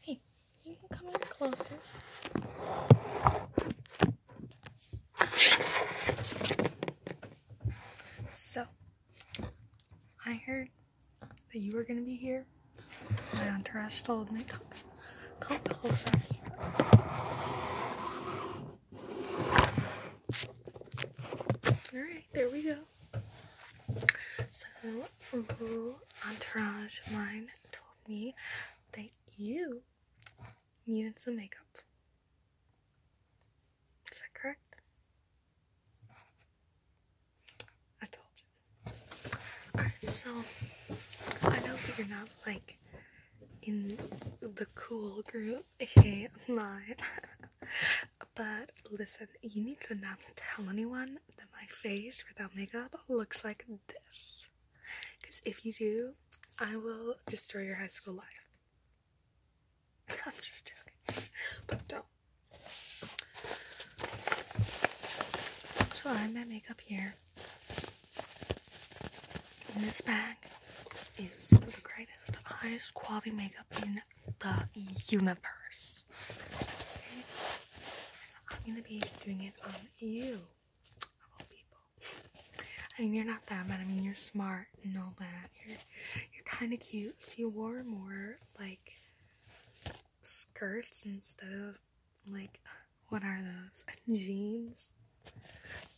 Hey, you can come closer. So, I heard that you were gonna be here. My entourage told me, come, closer. Alright, there we go. So, little mm-hmm, entourage mine told me that you needed some makeup. Is that correct? I told you. so I know that you're not like in the cool group, okay? mine. but listen, you need to not tell anyone that my face without makeup looks like this. Because if you do, I will destroy your high school life. I'm just joking. But don't. So I have my makeup here. And this bag is the greatest, highest quality makeup in the universe. I'm gonna be doing it on you, I mean, you're not that bad. I mean, you're smart and all that. You're, kind of cute. you wore more, like, skirts instead of like what are those jeans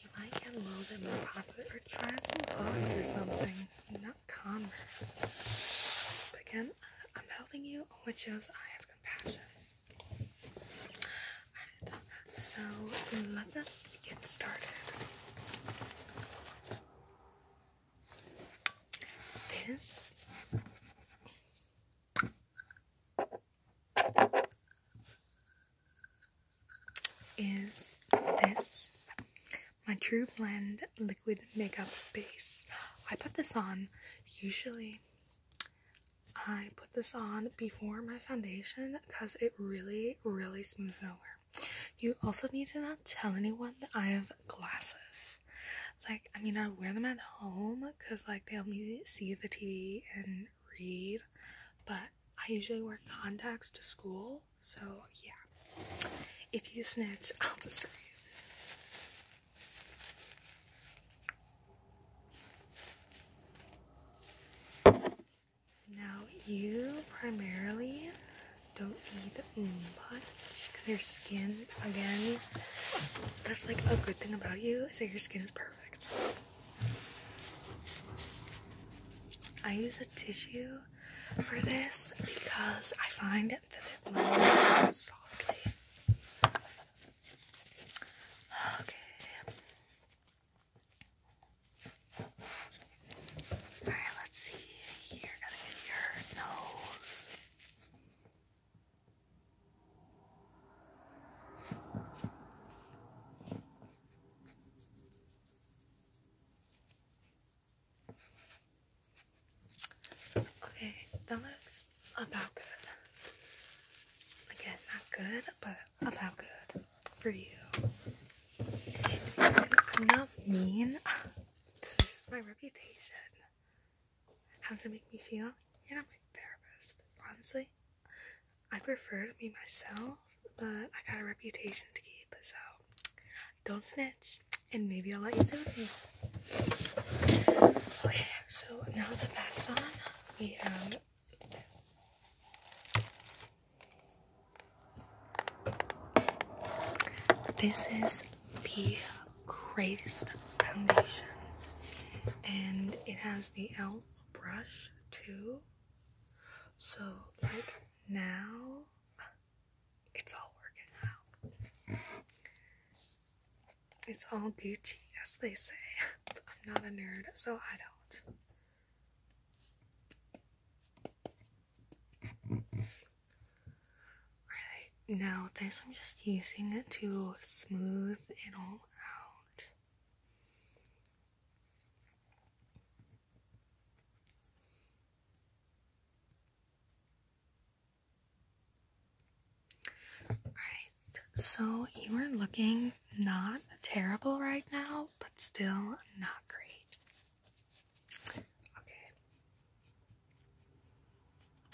you might get a little bit more popular or try some box or something not Converse again I'm helping you which shows I have compassion so let us get started this is this my True Blend Liquid Makeup Base. I put this on usually. I put this on before my foundation because it really, really smooths over. You also need to not tell anyone that I have glasses. Like, I mean, I wear them at home because, like, they help me see the TV and read, but I usually wear contacts to school, so yeah. If you snitch, I'll destroy you. Now, you primarily don't eat much because your skin, again, that's like a good thing about you is that your skin is perfect. I use a tissue for this because I find that it blends softly. Okay. Alright, let's see. Here, gotta get your nose. Okay, that looks about good. Again, not good, but about good for you. not mean. This is just my reputation. How does it make me feel? You're not my therapist, honestly. I prefer to be myself, but I got a reputation to keep, so don't snitch, and maybe I'll let you sit with me. Okay, so now the back's on, we have this. This is the greatest foundation, and it has the elf brush too. So, like now, it's all working out. It's all Gucci, as they say. I'm not a nerd, so I don't. Alright, now this I'm just using it to smooth it all out. Alright, so you are looking not terrible right now, but still not great. Okay.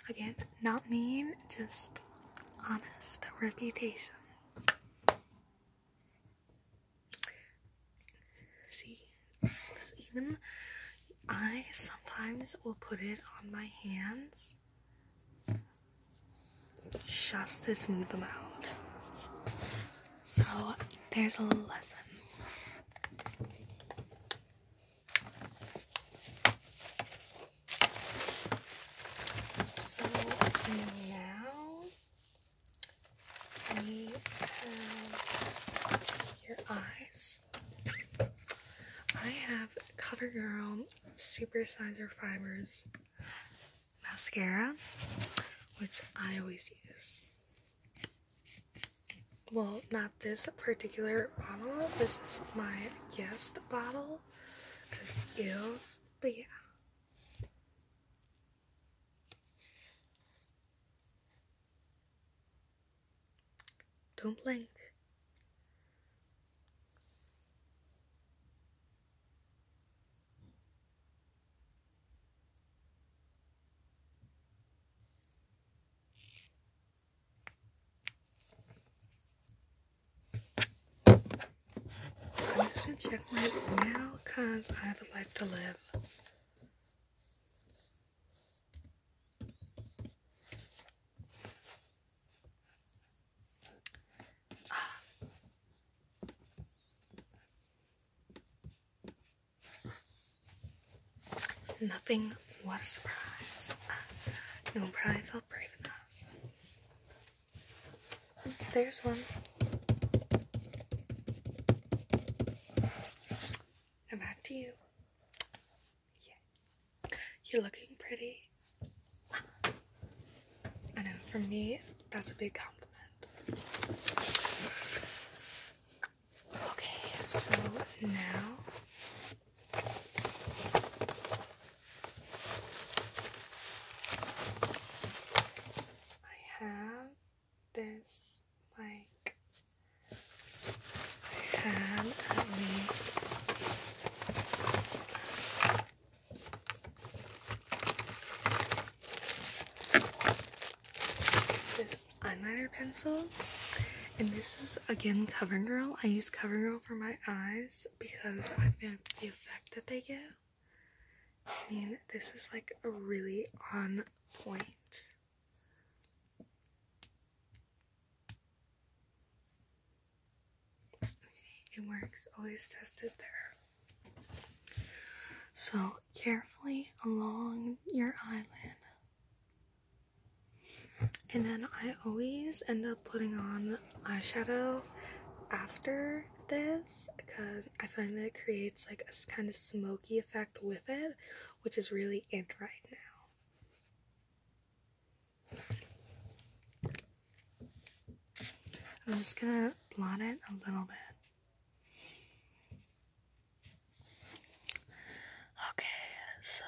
Again, not mean, just honest reputation. See, even I sometimes will put it on my hands just to smooth them out. So, there's a lesson. So now we have your eyes. I have CoverGirl Supersizer Fibers mascara, which I always use. Well, not this particular bottle. This is my guest bottle. Because you, but yeah. Don't blink. I'm just gonna check my email, because I have a life to live. Nothing. What a surprise. No one probably felt brave enough. There's one. Now back to you. Yeah. You're looking pretty. I know, for me, that's a big compliment. Okay, so now I have this like I have at least this eyeliner pencil. And this is again CoverGirl. I use CoverGirl for my eyes because I think the effect that they give. I mean, this is like a really on point. it works. Always tested there. So carefully along your eyelid. And then I always end up putting on eyeshadow after this because I find that it creates like a kind of smoky effect with it, which is really in right now. I'm just gonna blot it a little bit. Okay, so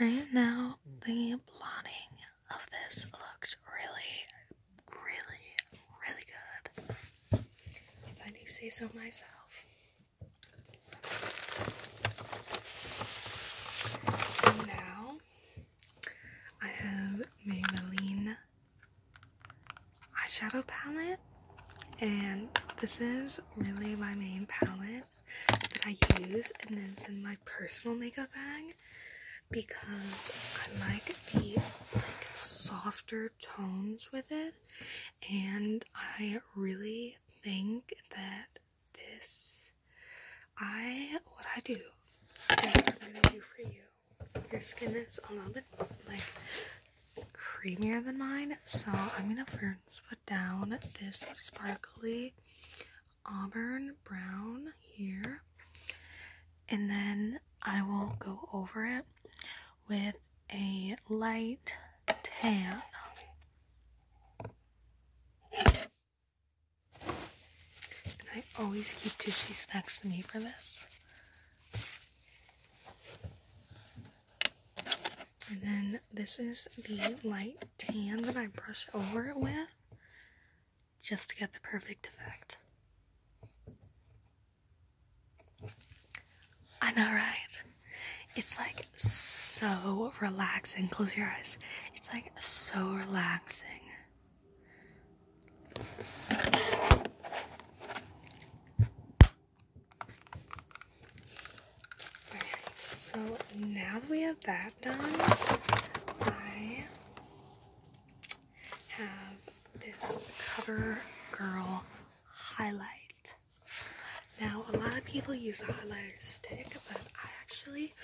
right now the plotting of this looks really, really, really good. If I do say so myself. now I have Maybelline eyeshadow palette, and this is really my main palette that I use, and then it's in my personal makeup bag because I like the like softer tones with it, and I really think that this I what I do do for you. Your skin is a little bit like creamier than mine. So I'm gonna first put down this sparkly auburn brown here. And then I will go over it with a light tan. I always keep tissues next to me for this. And then this is the light tan that I brush over it with just to get the perfect effect. I know, right? It's like so relaxing. Close your eyes. It's like so relaxing so now that we have that done, I have this Cover Girl highlight. Now, a lot of people use a highlighter stick, but I actually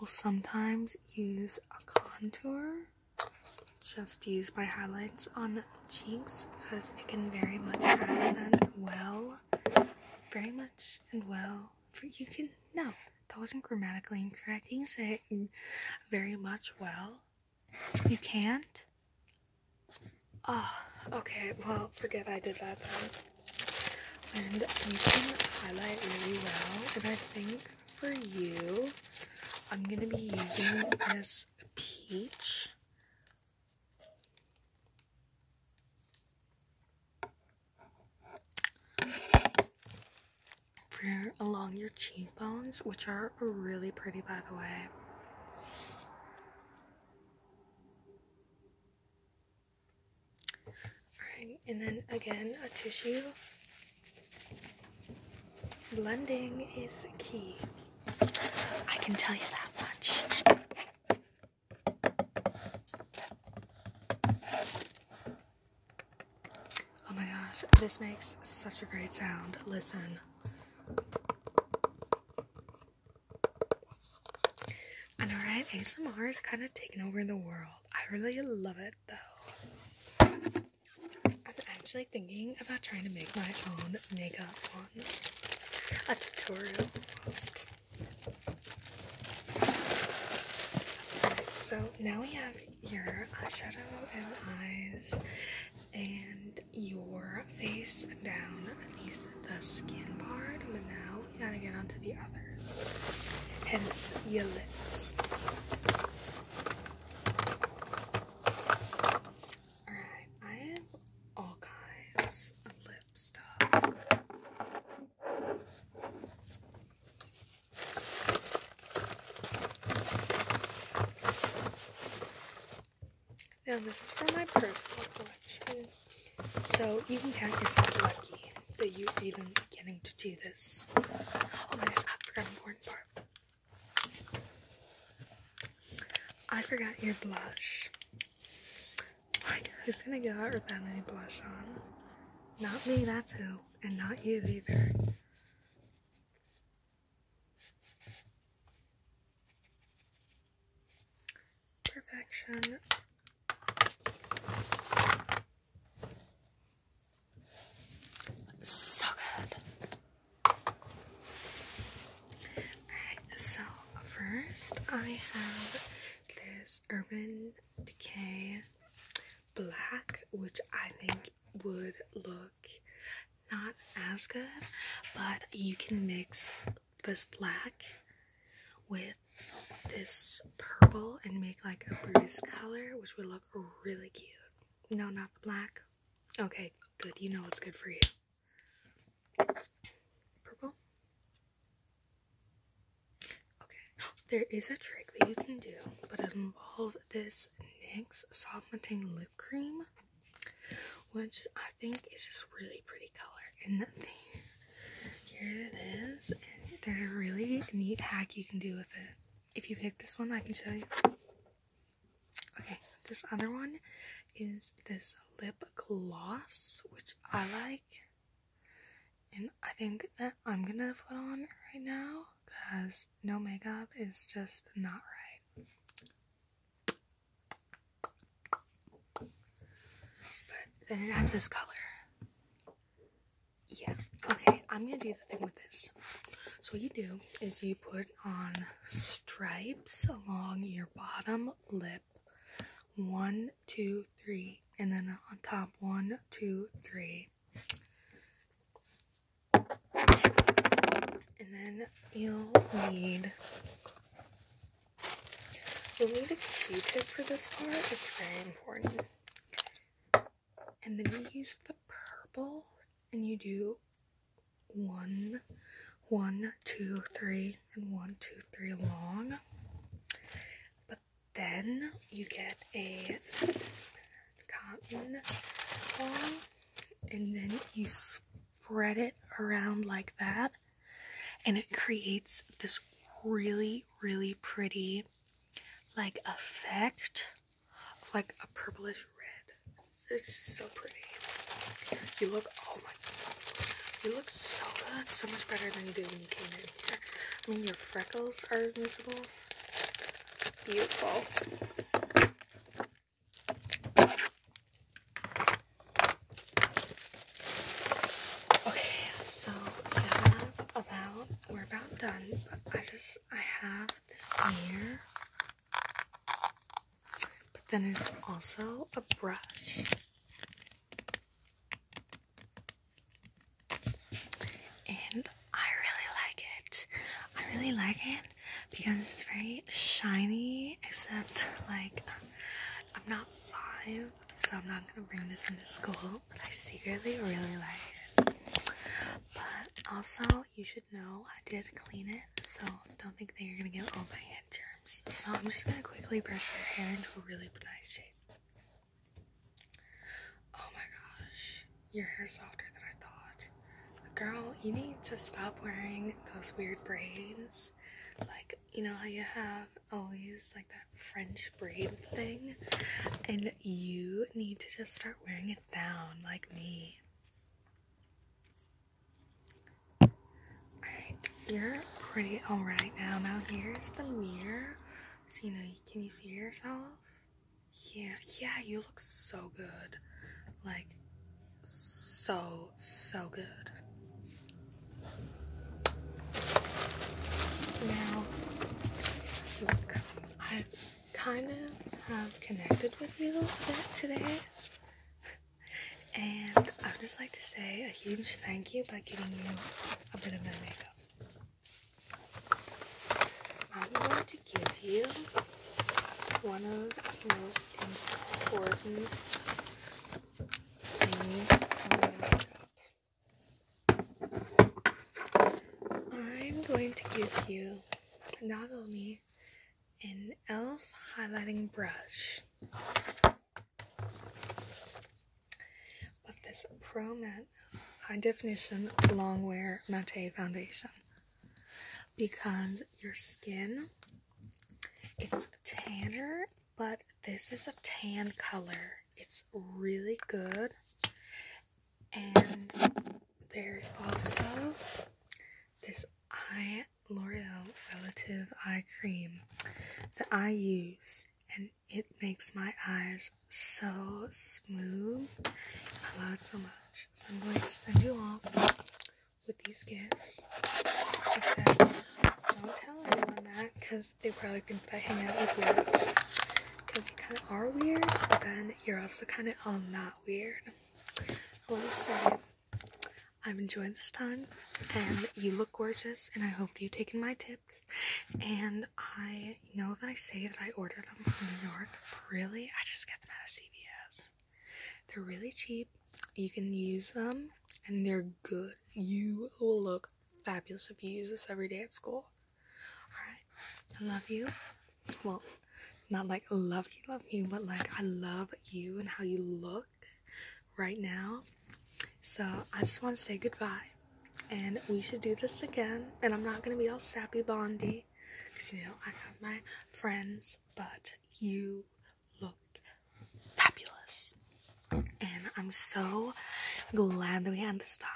will sometimes use a contour. Just use my highlights on cheeks because it can very much represent well, very much and well. For you can no, that wasn't grammatically incorrect. You say very much well. You can't. Ah, oh, okay. Well, forget I did that then. And you can highlight really well. And I think for you, I'm gonna be using this peach for along your cheekbones, which are really pretty by the way. Alright, and then again, a tissue. Blending is key. I can tell you that much. Oh my gosh, this makes such a great sound. Listen. I know, ASMR is kind of taking over the world. I really love it though. I'm actually thinking about trying to make my own Mega one. A tutorial almost. so now we have your eyeshadow and eyes and your face down, at least the skin part, but now we gotta get onto the others. Hence your lips. Alright, I have all kinds of lip stuff. Now, this is from my personal collection, so you can count yourself lucky that you're even getting to do this. Oh my gosh, I forgot an important part. I forgot your blush. who's gonna go out without any blush on? Not me, that's who. And not you either. Perfection. So good so first I have this Urban Decay black, which I think would look not as good, but you can mix this black with this purple and make like a bruised color, which would look really cute. No, not the black. Okay, good. You know what's good for you. Purple. Okay, there is a trick that you can do, but it involves this NYX Soft Matte Lip Cream, which I think is just really pretty color. And the, here it is. there's a really neat hack you can do with it. If you pick this one, I can show you. Okay, this other one is this lip gloss, which I like. And I think that I'm gonna put on right now because no makeup is just not right. But then it has this color. Yeah. Okay, I'm gonna do the thing with this. So what you do is you put on stripes along your bottom lip. One, two, three, and then on top, one, two, three. And then you'll need you'll need a Q-tip for this part. It's very important. And then you use the purple, and you do one, one, two, three, and one, two, three long. But then you get a cotton ball, and then you spread it around like that, and it creates this really, really pretty like effect of like a purplish red. It's so pretty. You look, oh my god, you look so good, so much better than you did when you came in here. I mean, your freckles are visible. Beautiful. Okay, so we are about done, but I just, I have this mirror but then it's also a brush. And I really like it. I really like it because it's very shiny, except like I'm not five, so I'm not gonna bring this into school, but I secretly really like it. But also, you should know I did clean it, so don't think that you're gonna get all my head germs. So I'm just gonna quickly brush your hair into a really nice shape. Oh my gosh, your hair's softer than I thought. Girl, you need to stop wearing those weird braids. Like, you know how you have always like that French braid thing? And you need to just start wearing it down like me you're pretty alright now. Now here's the mirror. So you know, can you see yourself? Yeah, yeah, you look so good. Like, so, so good. Now, look, I've kind of um, connected with you today. And I'd just like to say a huge thank you by giving you a bit of my makeup. I'm going to give you one of the most important things for my makeup. I'm going to give you not only an e.l.f. highlighting brush. With this Pro Matte High Definition Long Wear Matte Foundation. Because your skin, it's tanner, but this is a tan color. It's really good. And there's also this eye L'Oreal Relative Eye Cream that I use, and it makes my eyes so smooth. I love it so much. So I'm going to send you off with these gifts. don't tell anyone that because they probably think that I hang out with weirdos. Because you kind of are weird, but then you're also kind of all not weird. I want to say I've enjoyed this time, and you look gorgeous, and I hope you've taken my tips. And I know that I say that I order them from New York, really, I just get them out of CVS. They're really cheap. You can use them, and they're good. You will look fabulous if you use this every day at school. Alright, I love you well, not like love you, love you, but like I love you and how you look right now. So I just want to say goodbye. And we should do this again. And I'm not going to be all sappy Bondy. Because, you know, I have my friends. But you look fabulous. And I'm so glad that we had this time.